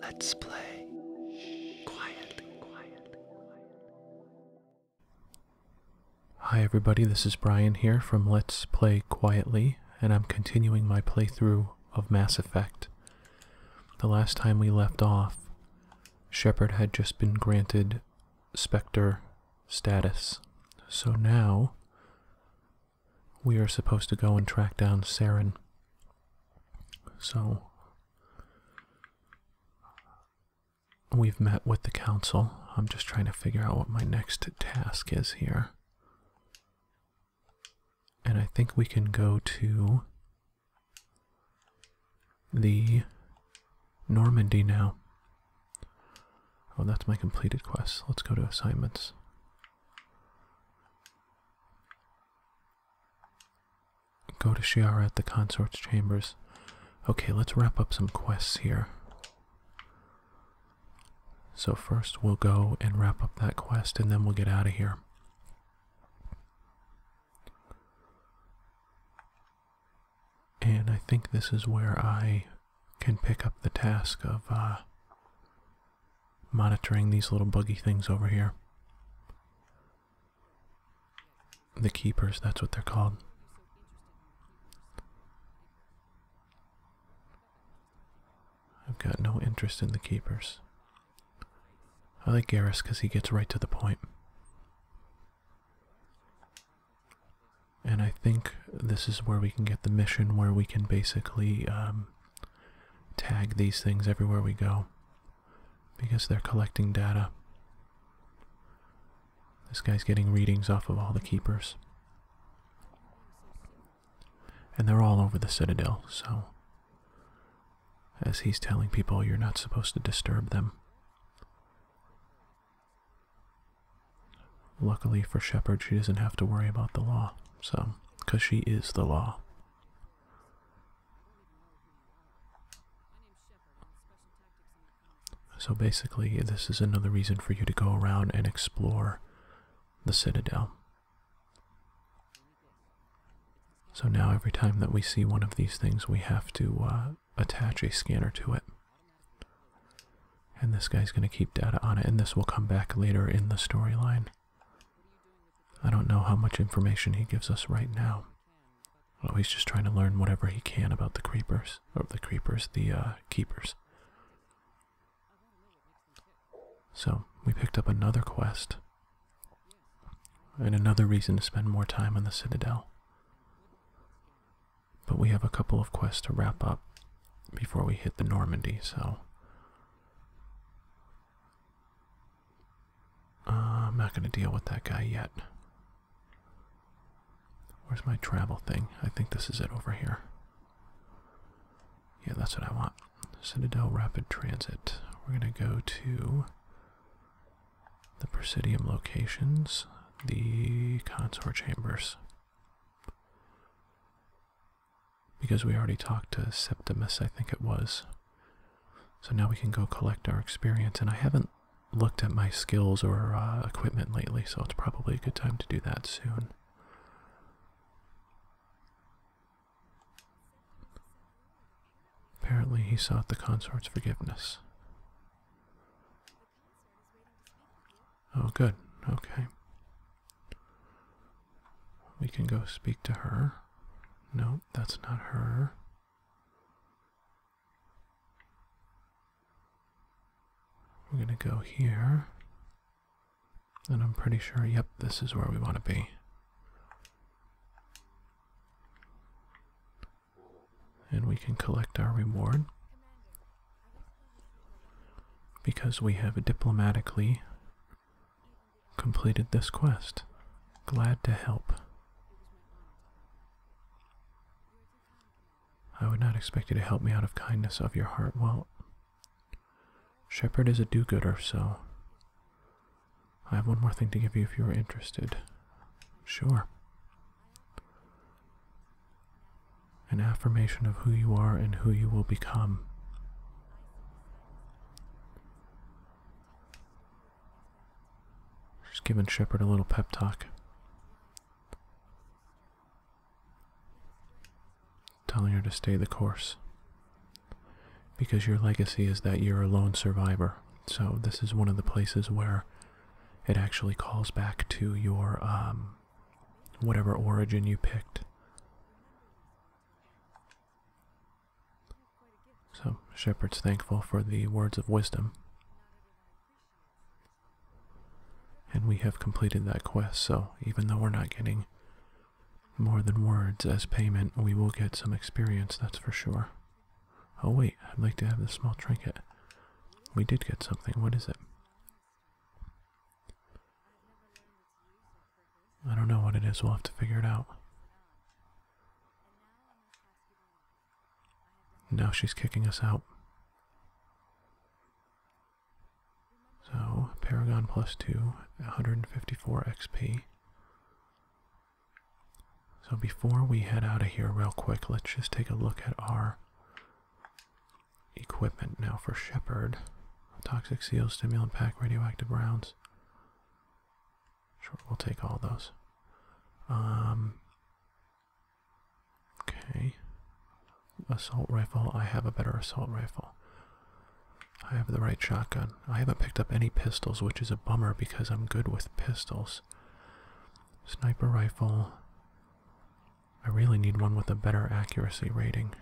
Let's play quietly, Hi, everybody, this is Brian here from Let's Play Quietly, and I'm continuing my playthrough of Mass Effect. The last time we left off, Shepard had just been granted Spectre status. So now, we are supposed to go and track down Saren so we've met with the council. I'm just trying to figure out what my next task is here. And I think we can go to the Normandy now. Oh, that's my completed quest. Let's go to assignments. Go to Shiara at the consort's chambers. Okay, let's wrap up some quests here. So first we'll go and wrap up that quest and then we'll get out of here. And I think this is where I can pick up the task of uh, monitoring these little buggy things over here. The keepers, that's what they're called. I've got no interest in the keepers. I like Garrus because he gets right to the point. And I think this is where we can get the mission where we can basically um, tag these things everywhere we go because they're collecting data. This guy's getting readings off of all the keepers. And they're all over the citadel, so as he's telling people you're not supposed to disturb them. Luckily for Shepard, she doesn't have to worry about the law, so because she is the law. So basically, this is another reason for you to go around and explore the Citadel. So now, every time that we see one of these things, we have to uh, attach a scanner to it. And this guy's going to keep data on it, and this will come back later in the storyline. I don't know how much information he gives us right now. Oh, he's just trying to learn whatever he can about the creepers. Or the creepers, the uh, keepers. So, we picked up another quest. And another reason to spend more time in the Citadel. But we have a couple of quests to wrap up before we hit the Normandy, so uh, I'm not going to deal with that guy yet. Where's my travel thing? I think this is it over here. Yeah, that's what I want. Citadel Rapid Transit. We're going to go to the Presidium locations, the Consort Chambers. Because we already talked to Septimus, I think it was. So now we can go collect our experience, and I haven't looked at my skills or uh, equipment lately, so it's probably a good time to do that soon. Apparently, he sought the consort's forgiveness. Oh, good. Okay. We can go speak to her. No, that's not her. We're going to go here. And I'm pretty sure, yep, this is where we want to be. And we can collect our reward. Because we have diplomatically completed this quest. Glad to help. I would not expect you to help me out of kindness of your heart. Well, Shepherd is a do gooder, so I have one more thing to give you if you are interested. Sure. An affirmation of who you are and who you will become. She's giving Shepard a little pep talk. Telling her to stay the course. Because your legacy is that you're a lone survivor. So, this is one of the places where it actually calls back to your, um, whatever origin you picked. So, Shepherd's thankful for the words of wisdom. And we have completed that quest, so even though we're not getting more than words as payment, we will get some experience, that's for sure. Oh, wait, I'd like to have this small trinket. We did get something. What is it? I don't know what it is. We'll have to figure it out. Now she's kicking us out. So, Paragon plus 2, 154 XP. So, before we head out of here, real quick, let's just take a look at our equipment now for Shepard. Toxic seal, stimulant pack, radioactive rounds. Sure, we'll take all those. Um, okay. Assault rifle. I have a better assault rifle. I have the right shotgun. I haven't picked up any pistols, which is a bummer because I'm good with pistols. Sniper rifle. I really need one with a better accuracy rating.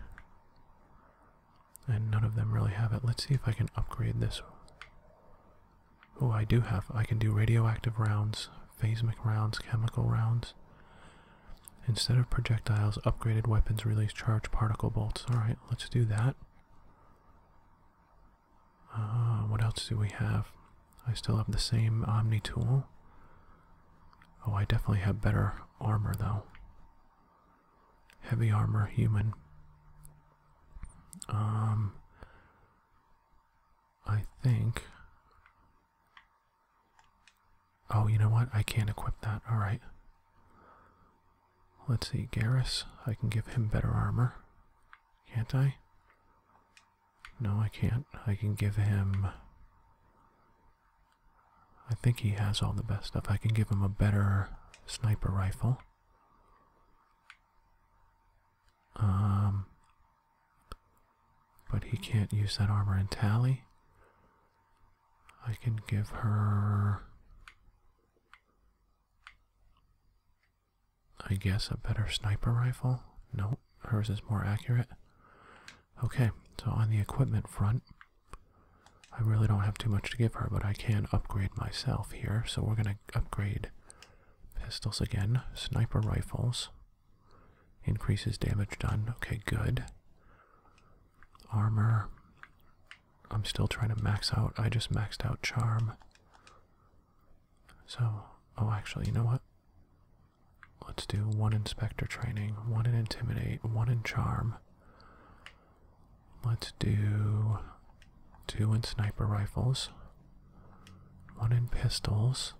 And none of them really have it. Let's see if I can upgrade this. Oh, I do have. I can do radioactive rounds, phasmic rounds, chemical rounds. Instead of projectiles, upgraded weapons release charged particle bolts. Alright, let's do that. Uh, what else do we have? I still have the same Omni tool. Oh, I definitely have better armor though heavy armor human. Um, I think. Oh, you know what? I can't equip that. All right. Let's see, Garrus. I can give him better armor. Can't I? No, I can't. I can give him I think he has all the best stuff. I can give him a better sniper rifle. Um, but he can't use that armor and tally. I can give her, I guess, a better sniper rifle. No, hers is more accurate. Okay, so on the equipment front, I really don't have too much to give her, but I can upgrade myself here. So we're going to upgrade pistols again, sniper rifles, increases damage done. Okay, good. Armor. I'm still trying to max out. I just maxed out charm. So, oh, actually, you know what? Let's do one inspector training, one in intimidate, one in charm. Let's do two in sniper rifles, one in pistols,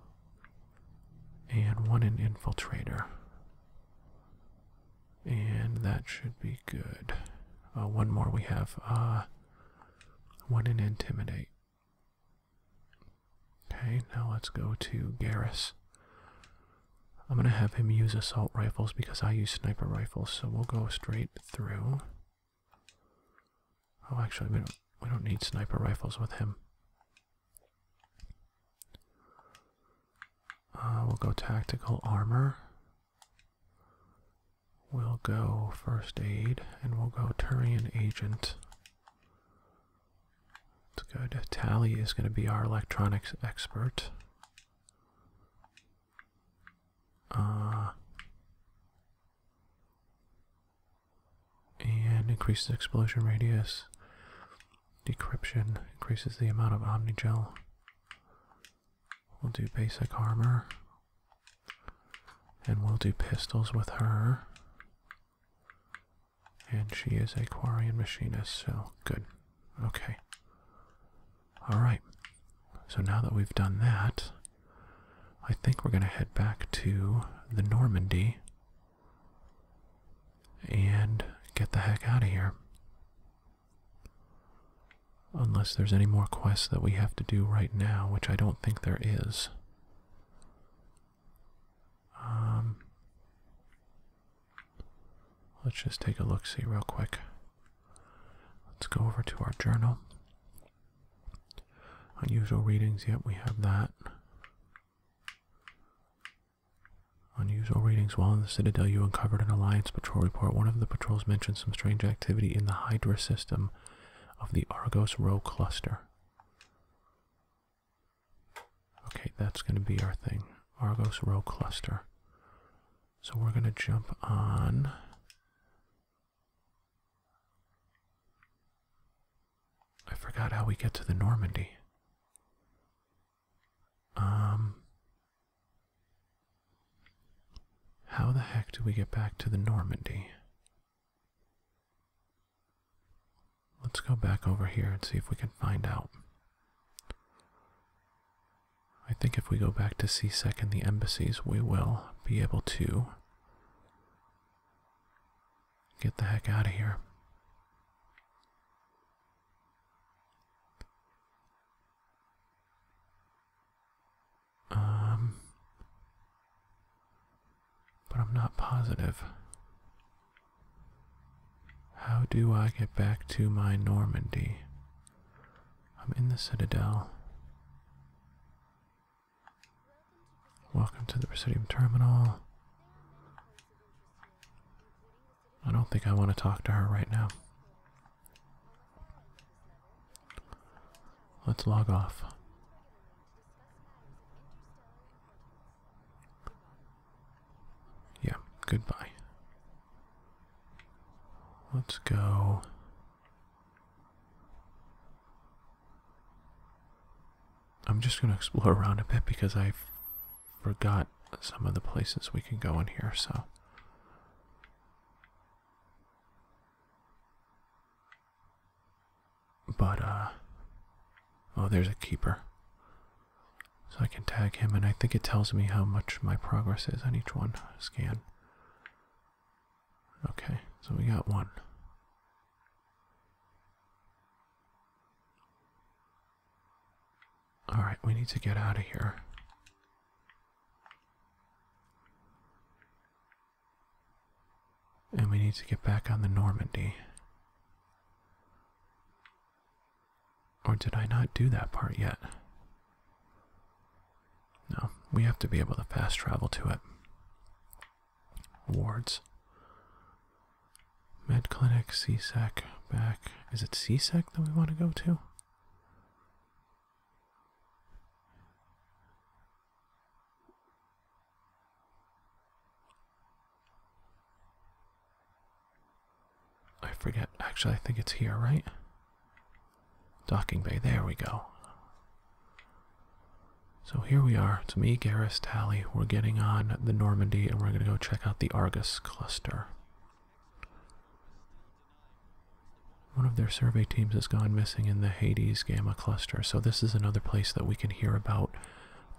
and one in infiltrator. And that should be good. Uh, one more we have uh, one in intimidate. Okay, now let's go to Garrus. I'm gonna have him use assault rifles because I use sniper rifles, so we'll go straight through. Oh, actually, we don't, we don't need sniper rifles with him. Uh, we'll go tactical armor. We'll go first aid, and we'll go Turian agent. It's good. Tally is going to be our electronics expert. Uh, and increases explosion radius. Decryption increases the amount of Omni Gel. We'll do basic armor. And we'll do pistols with her. And she is a quarry machinist, so good. Okay. Alright. So now that we've done that, I think we're going to head back to the Normandy and get the heck out of here. Unless there's any more quests that we have to do right now, which I don't think there is. Um, Let's just take a look see real quick. Let's go over to our journal. Unusual readings, yep, we have that. Unusual readings. While in the Citadel, you uncovered an Alliance patrol report. One of the patrols mentioned some strange activity in the Hydra system of the Argos Row cluster. Okay, that's going to be our thing. Argos row cluster. So we're going to jump on. I forgot how we get to the Normandy. Um, how the heck do we get back to the Normandy? Let's go back over here and see if we can find out. I think if we go back to CSEC and the embassies, we will be able to get the heck out of here. Um, but I'm not positive. How do I get back to my Normandy? I'm in the Citadel. Welcome to the Presidium Terminal. I don't think I want to talk to her right now. Let's log off. Yeah, goodbye. Let's go. I'm just going to explore around a bit because I forgot some of the places we can go in here, so. But, uh. Oh, there's a keeper. So I can tag him, and I think it tells me how much my progress is on each one. Scan. Okay, so we got one. Alright, we need to get out of here. And we need to get back on the Normandy. Or did I not do that part yet? No, we have to be able to fast travel to it. Wards. Med clinic, CSEC, back. Is it CSEC that we want to go to? I forget. Actually, I think it's here, right? Docking bay. There we go. So here we are. It's me, Garrus, Tally. We're getting on the Normandy, and we're going to go check out the Argus cluster. One of their survey teams has gone missing in the Hades Gamma cluster, so this is another place that we can hear about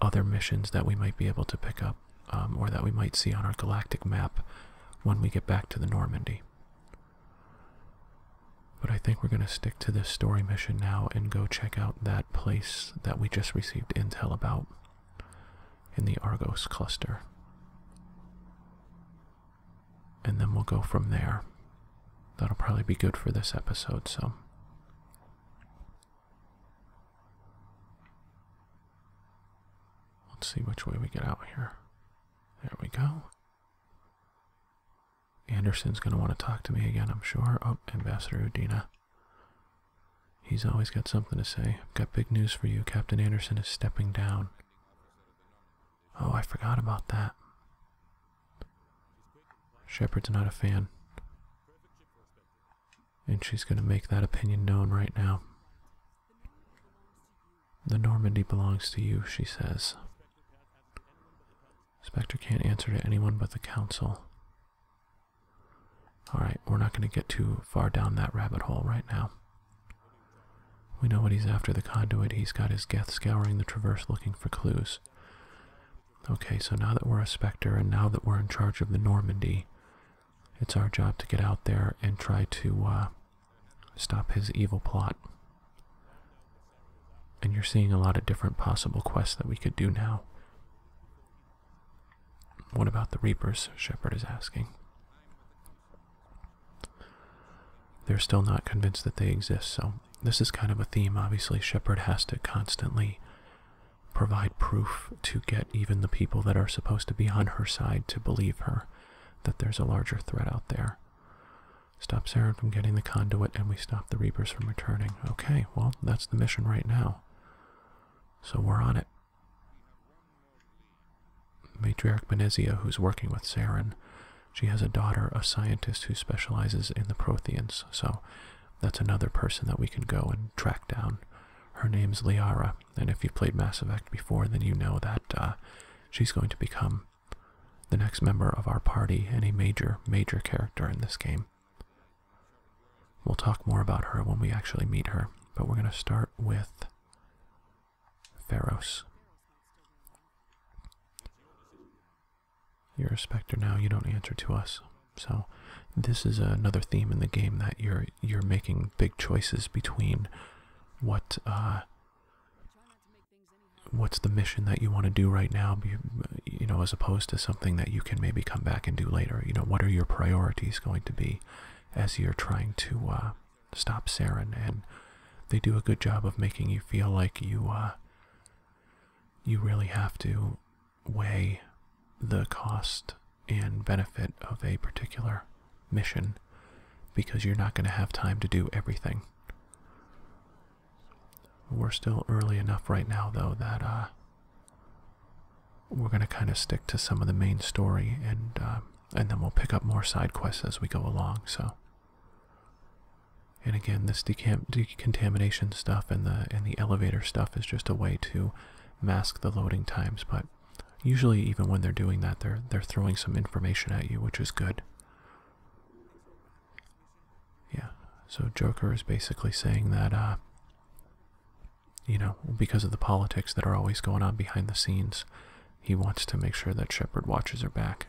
other missions that we might be able to pick up. Um, or that we might see on our galactic map when we get back to the Normandy. But I think we're going to stick to this story mission now and go check out that place that we just received intel about in the Argos cluster. And then we'll go from there. That'll probably be good for this episode, so. Let's see which way we get out here. There we go. Anderson's going to want to talk to me again, I'm sure. Oh, Ambassador Udina. He's always got something to say. I've got big news for you. Captain Anderson is stepping down. Oh, I forgot about that. Shepard's not a fan and she's going to make that opinion known right now. The Normandy belongs to you, she says. Spectre can't answer to anyone but the Council. Alright, we're not going to get too far down that rabbit hole right now. We know what he's after the conduit. He's got his Geth scouring the traverse looking for clues. Okay, so now that we're a Spectre and now that we're in charge of the Normandy, it's our job to get out there and try to uh, stop his evil plot. And you're seeing a lot of different possible quests that we could do now. What about the Reapers? Shepard is asking. They're still not convinced that they exist, so this is kind of a theme. Obviously, Shepard has to constantly provide proof to get even the people that are supposed to be on her side to believe her that there's a larger threat out there. Stop Saren from getting the conduit, and we stop the Reapers from returning. Okay, well, that's the mission right now. So we're on it. Matriarch Benezia, who's working with Saren, she has a daughter, a scientist who specializes in the Protheans, so that's another person that we can go and track down. Her name's Liara, and if you've played Mass Effect before, then you know that uh, she's going to become the next member of our party and a major, major character in this game. We'll talk more about her when we actually meet her, but we're going to start with Pharos. You're a specter now, you don't answer to us. So this is another theme in the game that you're you're making big choices between what uh, what's the mission that you want to do right now, you know, as opposed to something that you can maybe come back and do later. You know, what are your priorities going to be as you're trying to uh, stop Saren? And they do a good job of making you feel like you uh, you really have to weigh the cost and benefit of a particular mission because you're not going to have time to do everything. We're still early enough right now, though, that uh, we're going to kind of stick to some of the main story, and uh, and then we'll pick up more side quests as we go along. So, and again, this decamp Contamination stuff and the and the elevator stuff is just a way to mask the loading times, but usually even when they're doing that they're they're throwing some information at you, which is good. Yeah. So Joker is basically saying that uh you know, because of the politics that are always going on behind the scenes, he wants to make sure that Shepard watches her back.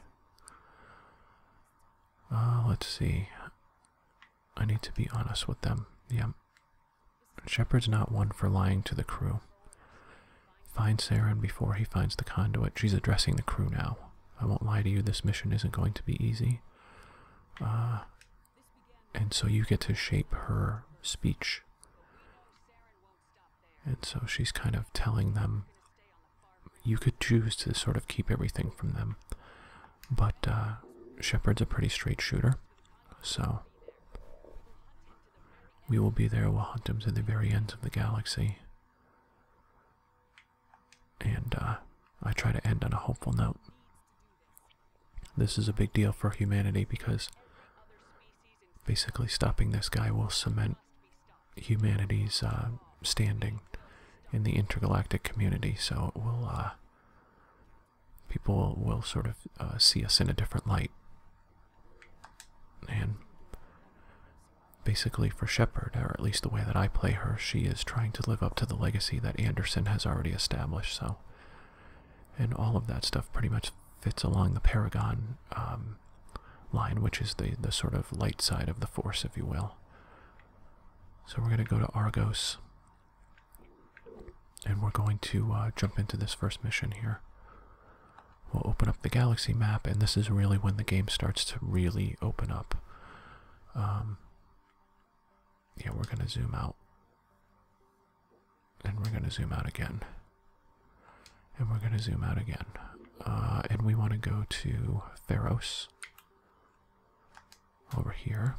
Uh, let's see. I need to be honest with them. Yep. Shepard's not one for lying to the crew. Find and before he finds the conduit. She's addressing the crew now. I won't lie to you, this mission isn't going to be easy. Uh, and so you get to shape her speech. And so she's kind of telling them you could choose to sort of keep everything from them. But uh, Shepard's a pretty straight shooter, so we will be there. We'll hunt him to the very ends of the galaxy. And uh, I try to end on a hopeful note. This is a big deal for humanity because basically stopping this guy will cement humanity's uh, standing in the intergalactic community. So it will uh, people will sort of uh, see us in a different light. And basically, for Shepard, or at least the way that I play her, she is trying to live up to the legacy that Anderson has already established. So, and all of that stuff pretty much fits along the Paragon um, line, which is the the sort of light side of the Force, if you will. So we're going to go to Argos. And we're going to uh, jump into this first mission here. We'll open up the galaxy map, and this is really when the game starts to really open up. Um, yeah, we're going to zoom out. And we're going to zoom out again. And we're going to zoom out again. Uh, and we want to go to Theros over here.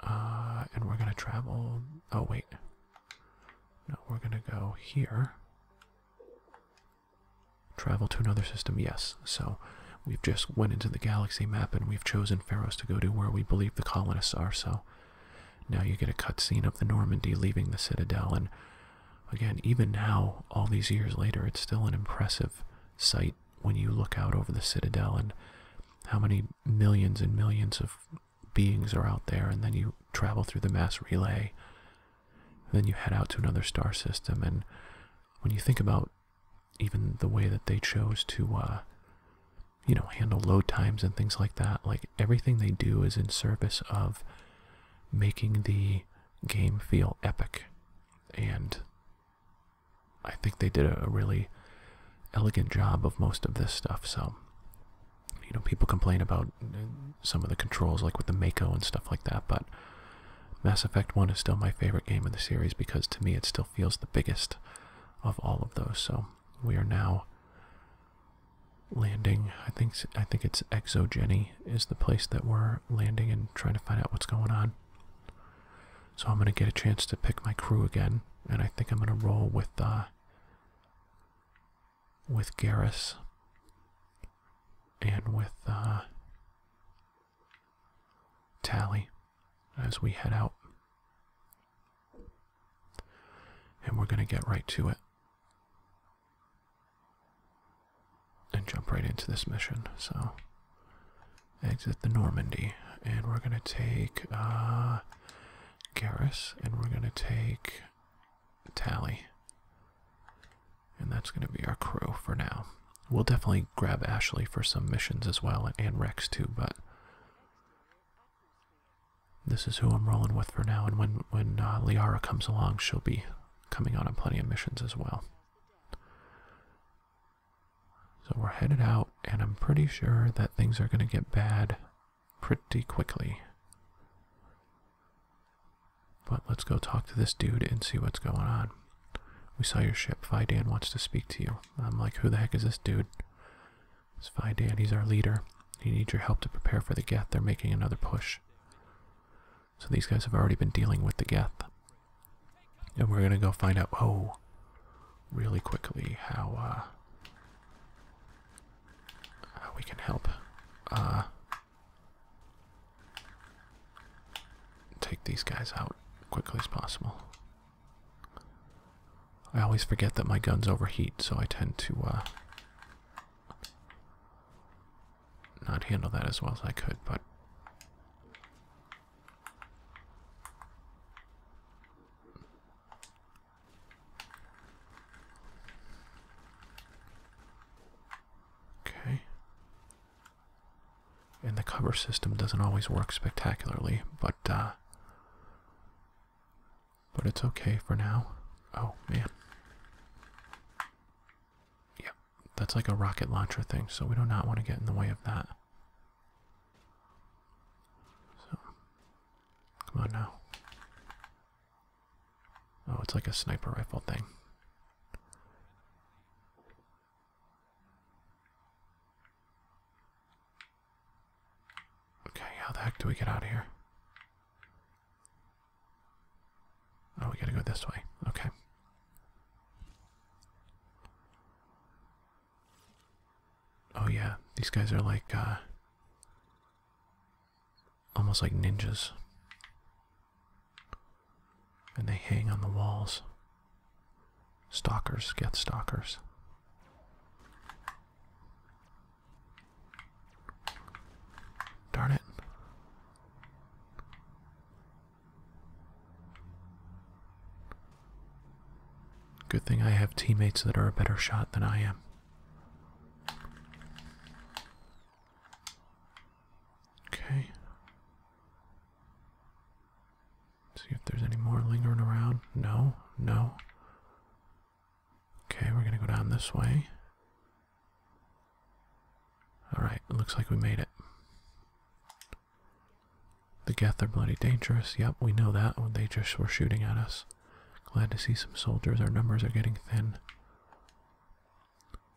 Uh, and we're gonna travel. Oh, wait. No, we're gonna go here. Travel to another system, yes. So we've just went into the galaxy map and we've chosen Pharos to go to where we believe the colonists are. So now you get a cutscene of the Normandy leaving the Citadel. And again, even now, all these years later, it's still an impressive sight when you look out over the citadel and how many millions and millions of beings are out there, and then you travel through the mass relay, then you head out to another star system, and when you think about even the way that they chose to, uh, you know, handle load times and things like that, like everything they do is in service of making the game feel epic and I think they did a, really elegant job of most of this stuff. So, you know, people complain about uh, some of the controls, like with the Mako and stuff like that, but Mass Effect 1 is still my favorite game in the series because to me it still feels the biggest of all of those. So, we are now landing. I think I think it's Exogeny is the place that we're landing and trying to find out what's going on. So I'm gonna get a chance to pick my crew again, and I think I'm gonna roll with uh, with Garrus and with uh, Tally as we head out, and we're gonna get right to it and jump right into this mission. So exit the Normandy, and we're gonna take uh, and we're gonna take Tally, and that's gonna be our crew for now. We'll definitely grab Ashley for some missions as well, and Rex too, but this is who I'm rolling with for now. And when when uh, Liara comes along, she'll be coming on on plenty of missions as well. So we're headed out, and I'm pretty sure that things are going to get bad pretty quickly. But let's go talk to this dude and see what's going on. We saw your ship. Fidan wants to speak to you. I'm like, who the heck is this dude? It's Fidan. He's our leader. He needs your help to prepare for the Geth. They're making another push. So these guys have already been dealing with the Geth. And we're gonna go find out, oh, really quickly how, uh, we can help, uh, take these guys out quickly as possible. I always forget that my guns overheat, so I tend to, uh, not handle that as well as I could, but Okay. And the cover system doesn't always work spectacularly, but uh, but it's okay for now. Oh man. Yep. That's like a rocket launcher thing, so we do not want to get in the way of that. So, come on now. Oh, it's like a sniper rifle thing. Okay, how the heck do we get out of here? Oh, we gotta go this way. Okay. Oh yeah, these guys are like uh almost like ninjas. And they hang on the walls. Stalkers get stalkers. Darn it. Good thing I have teammates that are a better shot than I am. Okay. See if there's any more lingering around. No, no. Okay, we're gonna go down this way. Alright, looks like we made it. The Geth are bloody dangerous. Yep, we know that. Oh, they just were shooting at us. Glad to see some soldiers. Our numbers are getting thin.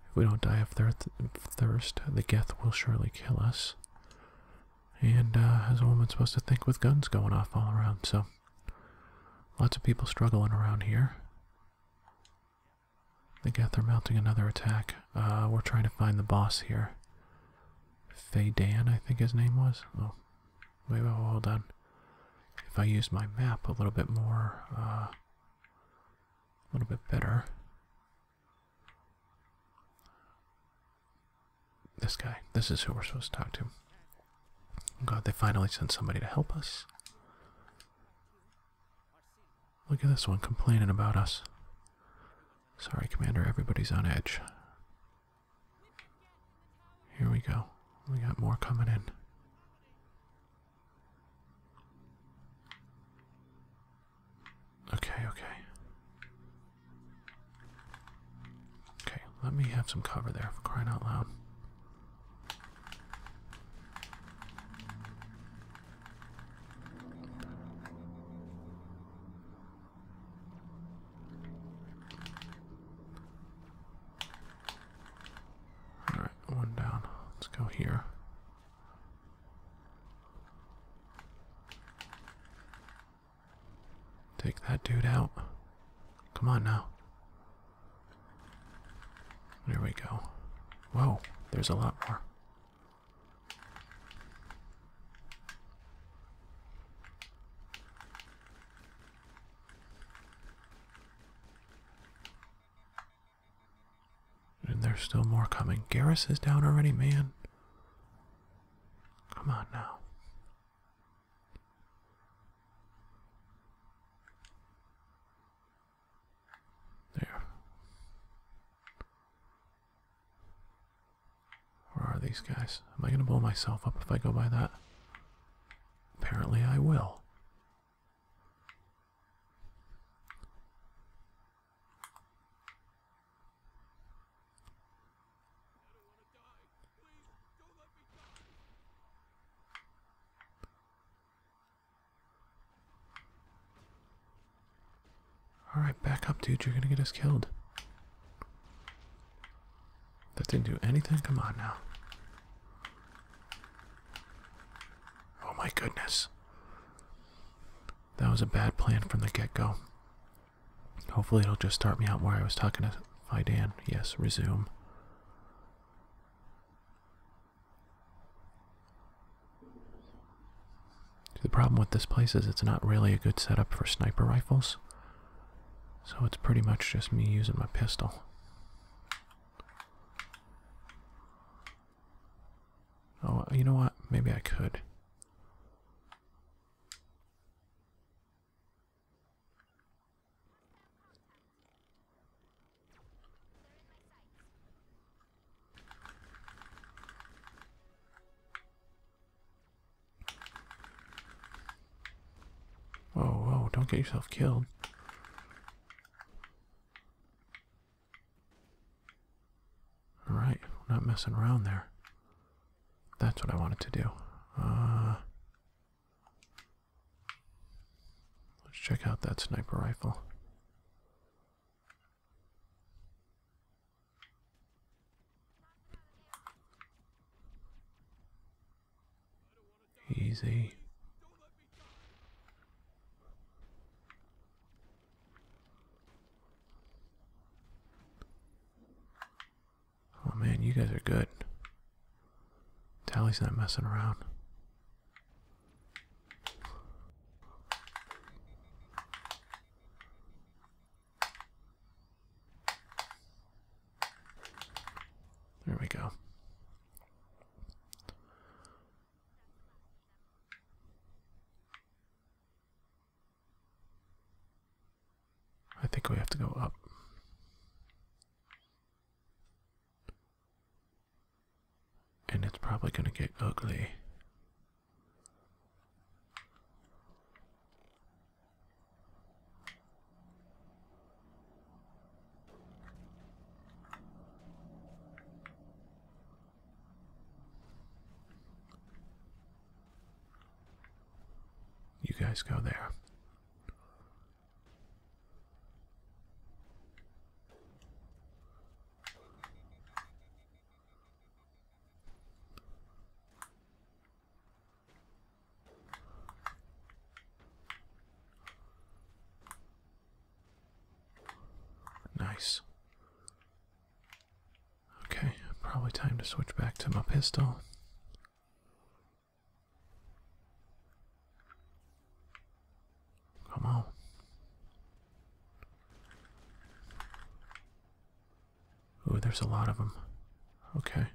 If we don't die of thirst, the Geth will surely kill us. And uh, as a woman supposed to think with guns going off all around, so lots of people struggling around here. They got they're mounting another attack. Uh, we're trying to find the boss here. Faydan, I think his name was. Oh, wait, wait, hold on. If I use my map a little bit more, uh, a little bit better. This guy. This is who we're supposed to talk to. God, they finally sent somebody to help us. Look at this one complaining about us. Sorry, Commander, everybody's on edge. Here we go. We got more coming in. Okay, okay. Okay, let me have some cover there for crying out loud. All right, one down. Let's go here. Take that dude out. Come on now. There we go. Whoa, there's a lot more. And there's still more coming. Garrus is down already, man. Come on now. There. Where are these guys? Am I going to blow myself up if I go by that? Apparently I will. Alright, back up, dude. You're gonna get us killed. That didn't do anything? Come on now. Oh my goodness. That was a bad plan from the get go. Hopefully, it'll just start me out where I was talking to Fidan. Yes, resume. The problem with this place is it's not really a good setup for sniper rifles. So it's pretty much just me using my pistol. Oh, you know what? Maybe I could. Whoa, whoa, don't get yourself killed. Alright, not messing around there. That's what I wanted to do. Uh, let's check out that sniper rifle. Easy. Oh man, you guys are good. Tally's not messing around. There we go. I think we have to go up. And it's probably going to get ugly. You guys go there. Nice. Okay, probably time to switch back to my pistol. Come on. Ooh, there's a lot of them. Okay.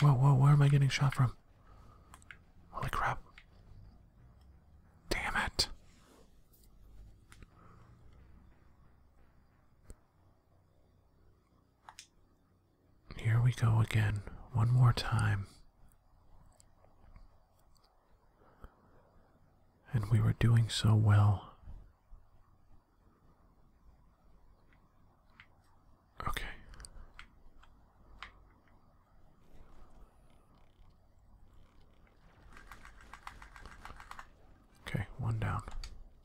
Whoa, whoa, where am I getting shot from? Holy crap. Damn it. Here we go again, one more time. And we were doing so well. Okay. Okay, one down.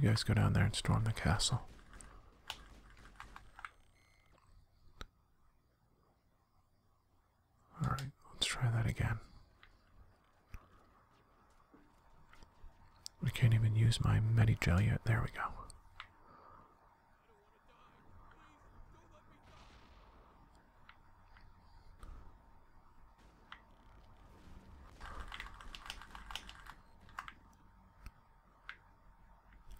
You guys go down there and storm the castle. Alright, let's try that again. I can't even use my Medigel yet. There we go.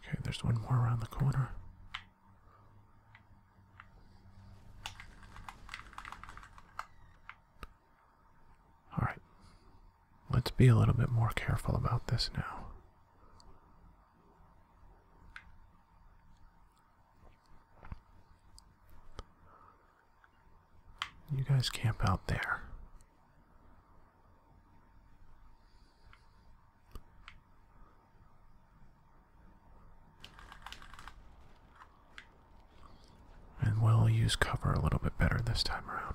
Okay, there's one more around the corner. All right, let's be a little bit more careful about this now. You guys camp out there. And we'll use cover a little bit better this time around.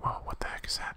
Whoa, what the heck is that?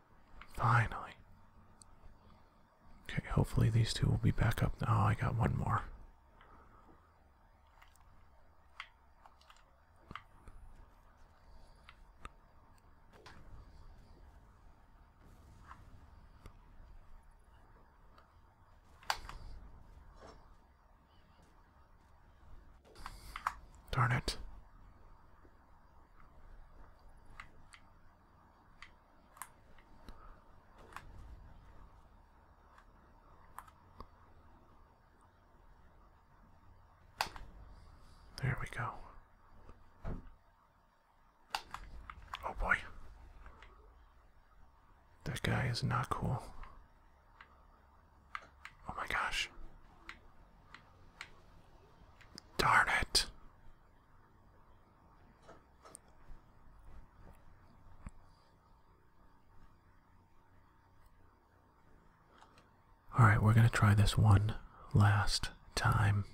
Finally. Okay, hopefully these two will be back up. now. Oh, I got one more. Darn it. There we go. Oh boy. That guy is not cool. Oh my gosh. Darn it. Alright, we're going to try this one last time.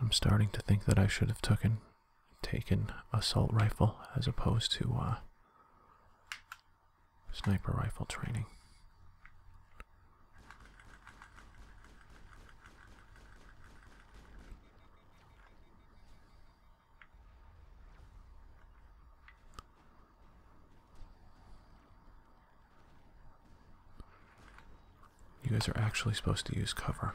I'm starting to think that I should have taken take an assault rifle as opposed to uh, sniper rifle training. You guys are actually supposed to use cover.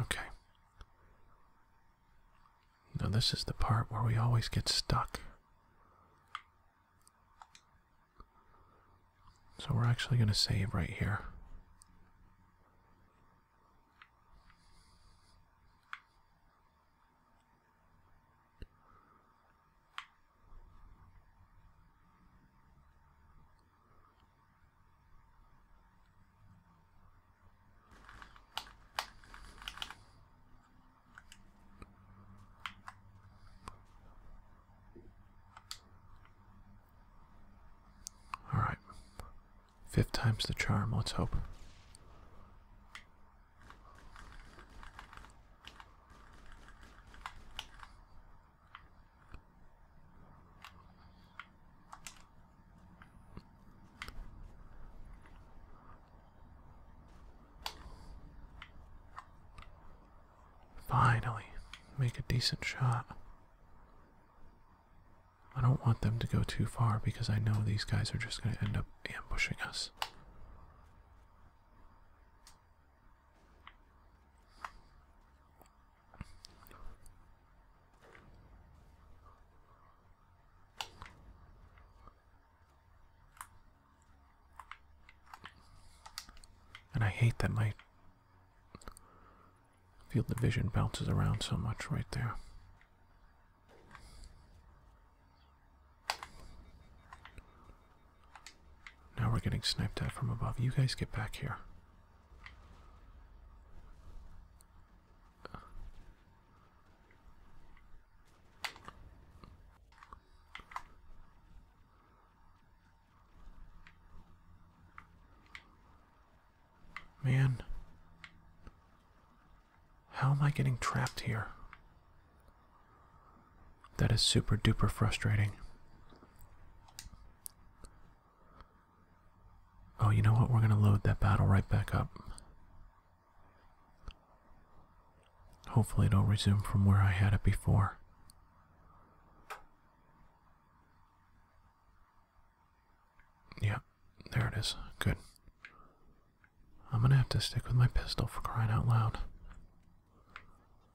Okay. Now, this is the part where we always get stuck. So, we're actually going to save right here. All right. Fifth time's the charm, let's hope. Finally, make a decent shot. I don't want them to go too far because I know these guys are just going to end up ambushing us. And I hate that my field of vision bounces around so much right there. Now we're getting sniped at from above. You guys get back here. Man, how am I getting trapped here? That is super duper frustrating. Oh, you know what? We're going to load that battle right back up. Hopefully, it'll resume from where I had it before. Yep, there it is. Good. I'm going to have to stick with my pistol for crying out loud.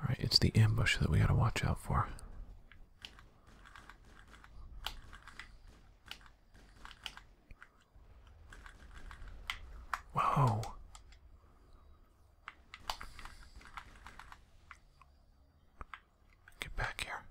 Alright, it's the ambush that we gotta watch out for. Whoa. Get back here.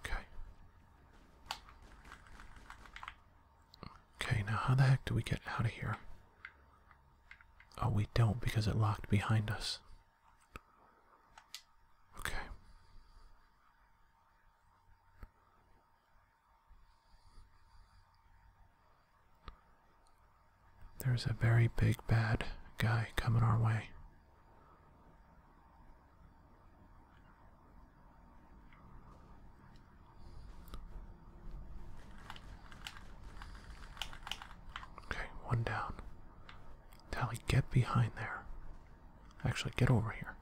Okay. Okay, now how the heck do we get out of here? Oh, we don't because it locked behind us. Okay. There's a very big bad guy coming our way. Okay, one down. Tally, get behind there. Actually, get over here.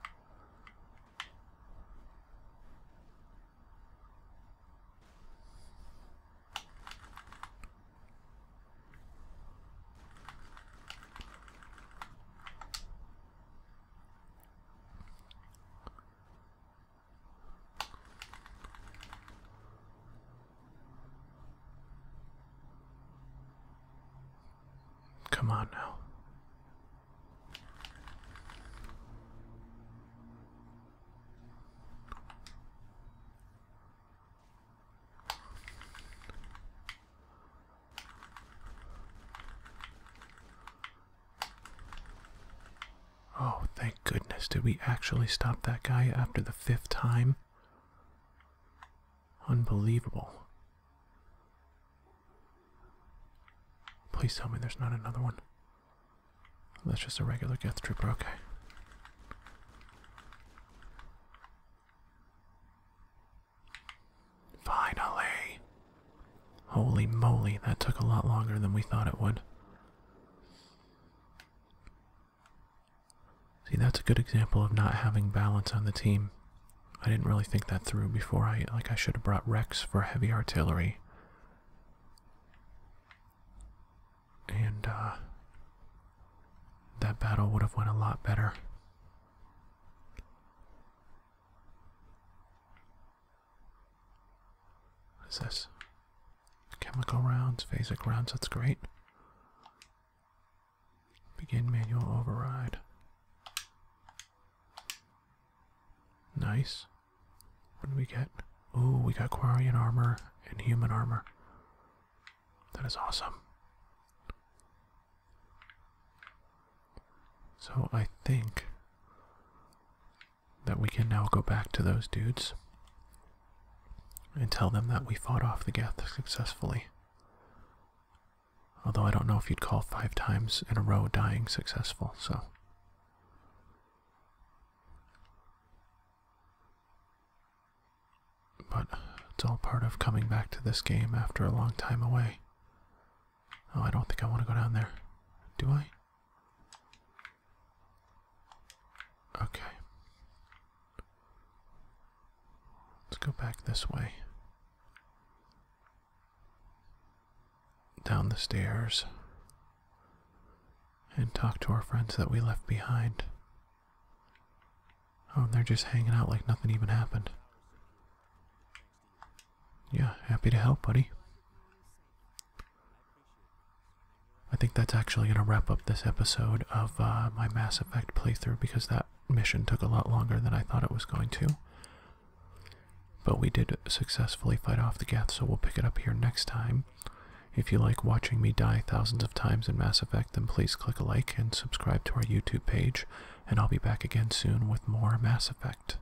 Come on now. Oh, thank goodness. Did we actually stop that guy after the fifth time? Unbelievable. Please tell me there's not another one. That's just a regular Geth Trooper, okay. Finally! Holy moly, that took a lot longer than we thought it would. See, that's a good example of not having balance on the team. I didn't really think that through before. I like I should have brought Rex for heavy artillery. And uh that battle would have went a lot better. What is this? Chemical rounds, basic rounds, that's great. Begin manual override. Nice. What do we get? Ooh, we got Quarian armor and human armor. That is awesome. So I think that we can now go back to those dudes and tell them that we fought off the Geth successfully. Although I don't know if you'd call five times in a row dying successful, so. But it's all part of coming back to this game after a long time away. Oh, I don't think I want to go down there. Do I? Okay. Let's go back this way. Down the stairs. And talk to our friends that we left behind. Oh, and they're just hanging out like nothing even happened. Yeah, happy to help, buddy. I think that's actually going to wrap up this episode of uh, my Mass Effect playthrough because that mission took a lot longer than I thought it was going to. But we did successfully fight off the Geth, so we'll pick it up here next time. If you like watching me die thousands of times in Mass Effect, then please click a like and subscribe to our YouTube page, and I'll be back again soon with more Mass Effect.